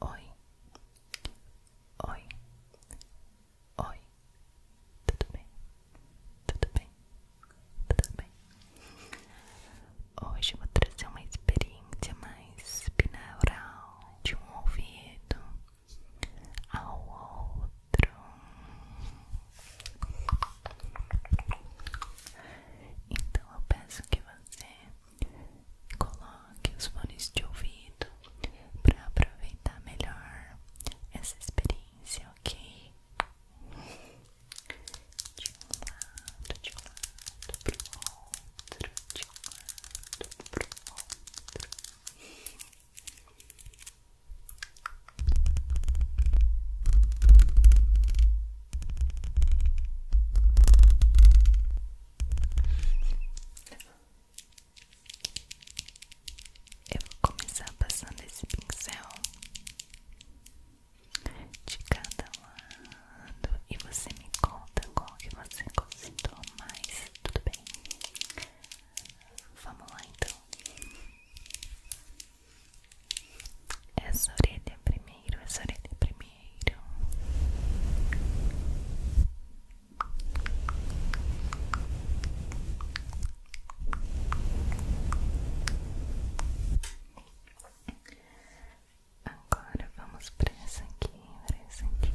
Oi, oi, oi, tudo bem, tudo bem, tudo bem. Hoje eu vou trazer uma experiência mais binaural de um ouvido ao outro. Então eu peço que você coloque os fones de ouvido para aproveitar melhor essa experiência, ok? De um lado, de um lado pro outro, de um lado pro outro. Eu vou começar passando esse pincel de cada lado e você me conta qual que você gostou mais, tudo bem? Vamos lá então. Essa orelha é primeiro, essa orelha é primeiro. Agora vamos para essa aqui, para essa aqui.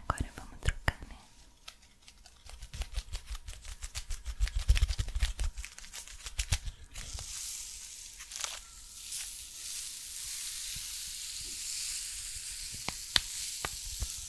Agora vamos trocar, né?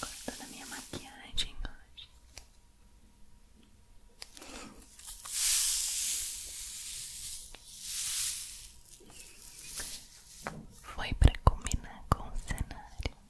corta a minha maquiagem hoje. Foi para combinar com o cenário.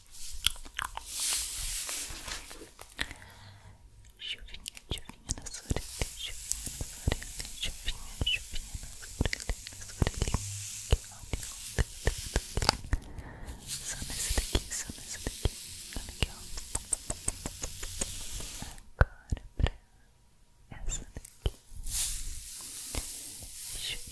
Chuvinha, chuvinha na sua orelha, chuvinha na sua orelha, chuvinha, chuvinha na sua orelha, na sua orelha. Só nessa daqui, só nessa daqui. Olha aqui, ó. Agora pra essa daqui. Chuvinha.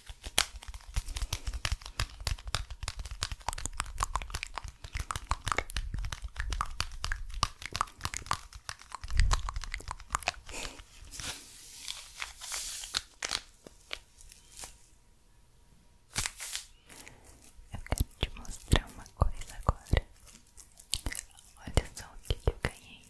Eu quero te mostrar uma coisa agora. Olha só o que eu ganhei.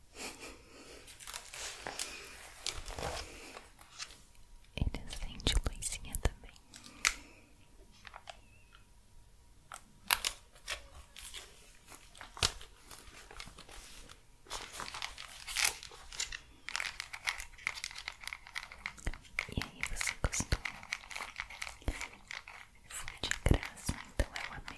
Ele acende luzinha também. E aí, você gostou? Foi de graça, então eu é amei.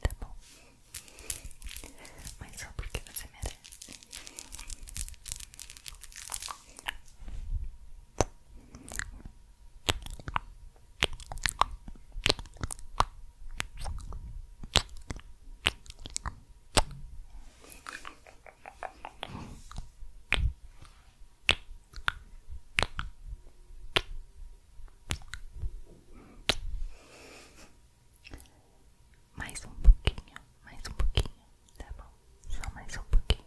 Tá bom, mas só porque você merece. Mais um pouquinho, mais um pouquinho, tá bom? Só mais um pouquinho.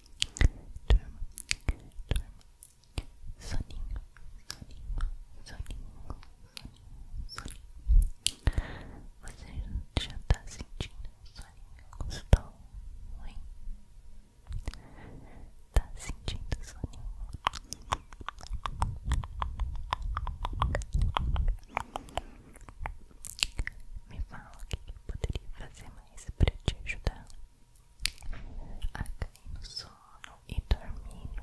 Durma, durma. Soninho, soninho, soninho, soninho, Você já tá sentindo soninho gostoso, hein? Tá sentindo soninho? Me fala o que poderia fazer mais para te ajudar a no sono e dormindo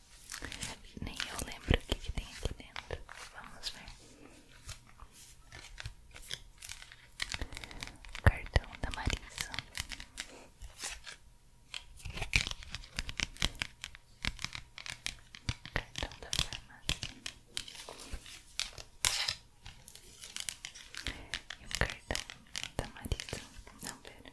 Nem eu lembro o que, tem aqui dentro. Vamos ver. Cartão da Marisa. Cartão da farmácia. E o cartão da Marisa. Não, pera.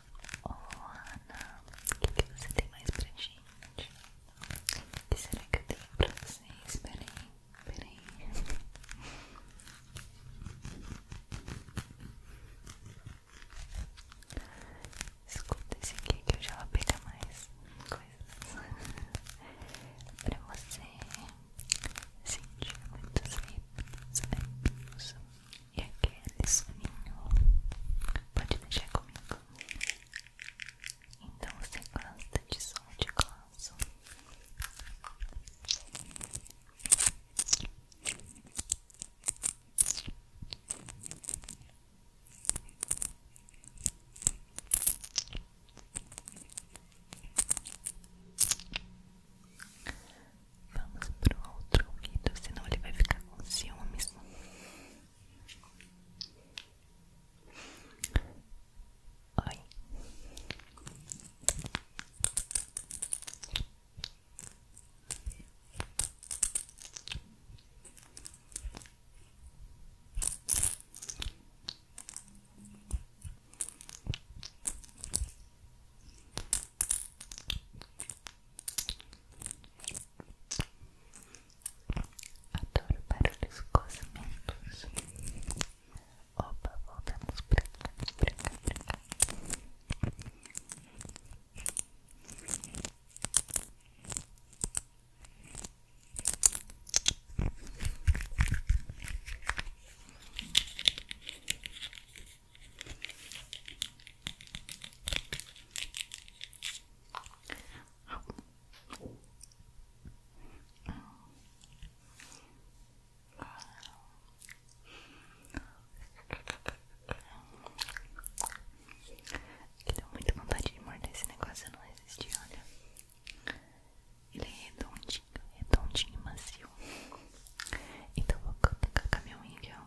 Oh, Ana, o que, você tem mais pra gente? O que será que eu tenho pra vocês? Peraí, peraí. Escuta esse aqui que eu já vou pegar mais coisas pra você sentir muitos arrepios, arrepios, e aquele soninho pode deixar comigo. Então você gosta de som de glaço? Vamos para o outro ouvido, senão ele vai ficar com ciúmes. Oi. Adoro os cosmentos. Opa, voltamos pra cá, que deu é muita vontade de morder esse negócio, eu não resisti, olha. Ele é redondinho, redondinho e macio. Então vou colocar com a minha unha.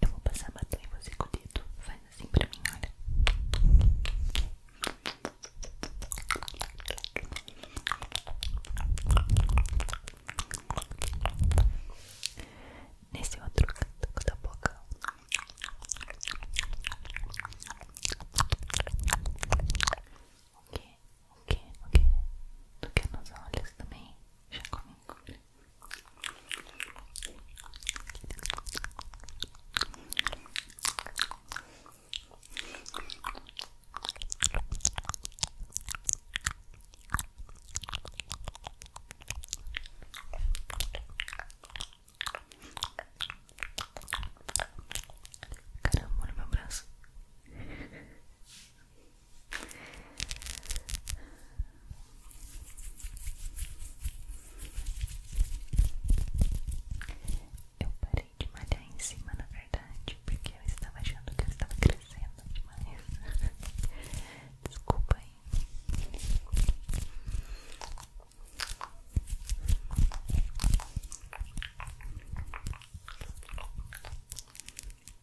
Eu vou passar batendo em você com o dedo. Faz assim pra mim, olha. Nesse outro canto da boca. O que? O que? O que? Tu quer nos olhos também? Já comigo cara olha meu braço eu parei de malhar em cima, na verdade, porque eu estava achando que eu estava crescendo demais. Desculpa aí.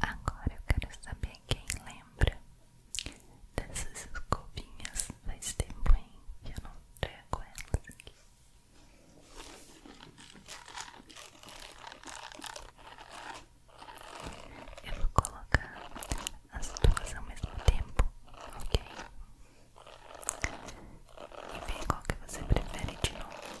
Agora eu quero saber quem lembra dessas escovinhas. Faz tempo, hein? Que eu não trago elas aqui. Eu vou colocar as duas ao mesmo tempo, ok? E ver qual que você prefere de novo.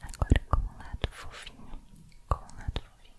Agora com o lado fofinho, com o lado fofinho.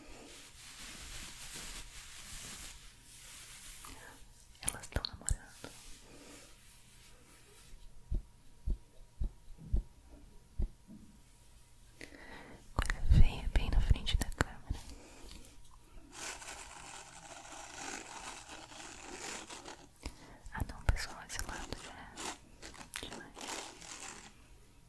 Elas estão namorando. Coisa feia é bem na frente da câmera. Ah não, pessoal, esse lado já é demais.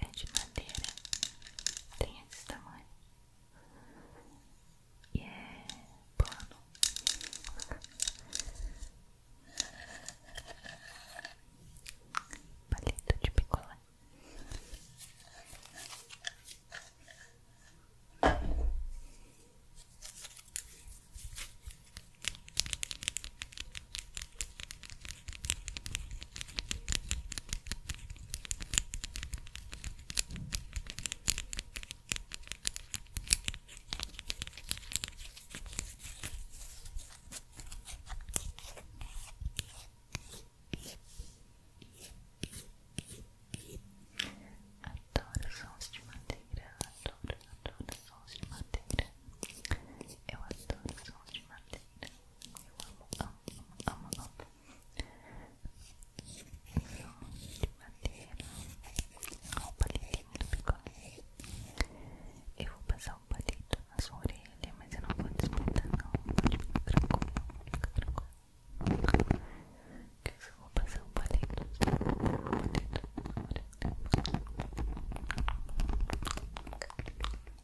É de madeira, tem esse tamanho e é plano. Palito de picolé. Adoro sons de madeira, adoro, adoro sons de madeira. Eu adoro sons de madeira. Eu amo, amo, amo, amo. De madeira. Olha o palitinho do bigode. Eu vou passar o um palito na sua orelha, mas eu não vou desmontar, não. Pode ficar tranquilo, fica tranquilo. Que eu só vou passar o um palito. Um palito na orelha.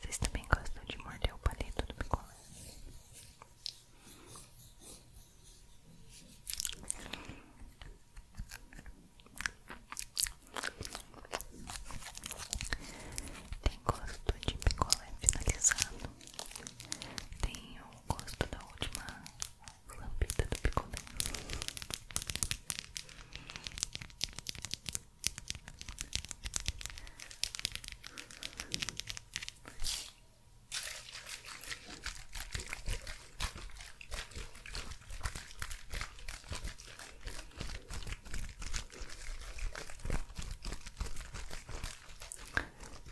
Vocês também gostam de morder o palito do picolé? Tem gosto de picolé finalizado. Tem o gosto da última lambida do picolé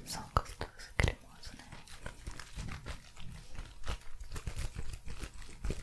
são um cremosas né? Bem gostoso, bem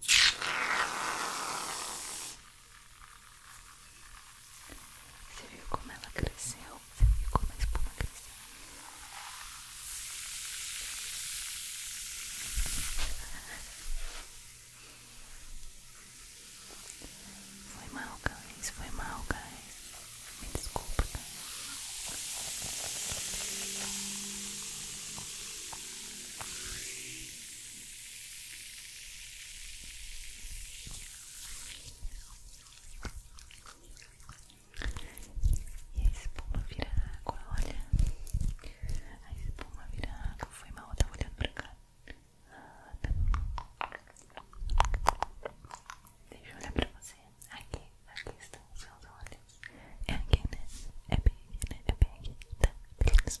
Você viu como ela cresceu? Você viu como a espuma cresceu? Foi mal, Isso Foi mal, guys. Me desculpa, guys. E a espuma vira água, olha. A espuma vira água. Foi mal, tá olhando pra cá. Deixa eu olhar pra você. Aqui, aqui estão os seus olhos. É aqui, né? É bem aqui, né? É bem aqui. Tá, beleza.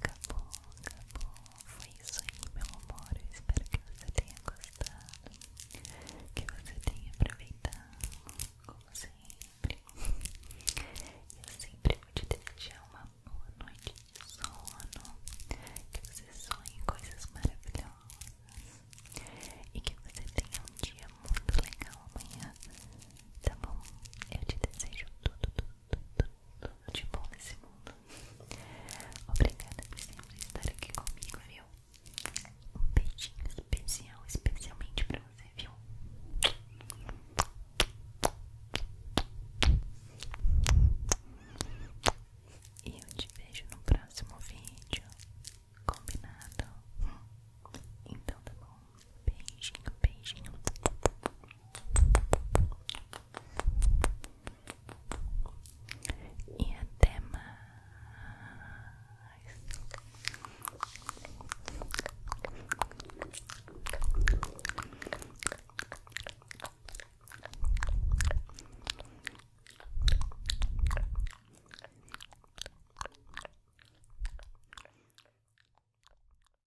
Acabou, acabou. Foi isso aí, meu amor. Eu espero que você tenha gostado. Que você tenha aproveitado, como sempre. Eu sempre vou te desejar uma boa noite de sono. Que você sonhe coisas maravilhosas. E que você tenha um dia muito legal amanhã. Tá bom? Eu te desejo tudo, tudo, tudo de bom nesse mundo. Obrigada por estar aqui comigo, viu? Um beijinho especial, especialmente pra você, viu? E eu te vejo no próximo vídeo. Combinado? Então tá bom. Beijinho, beijinho. E até mais.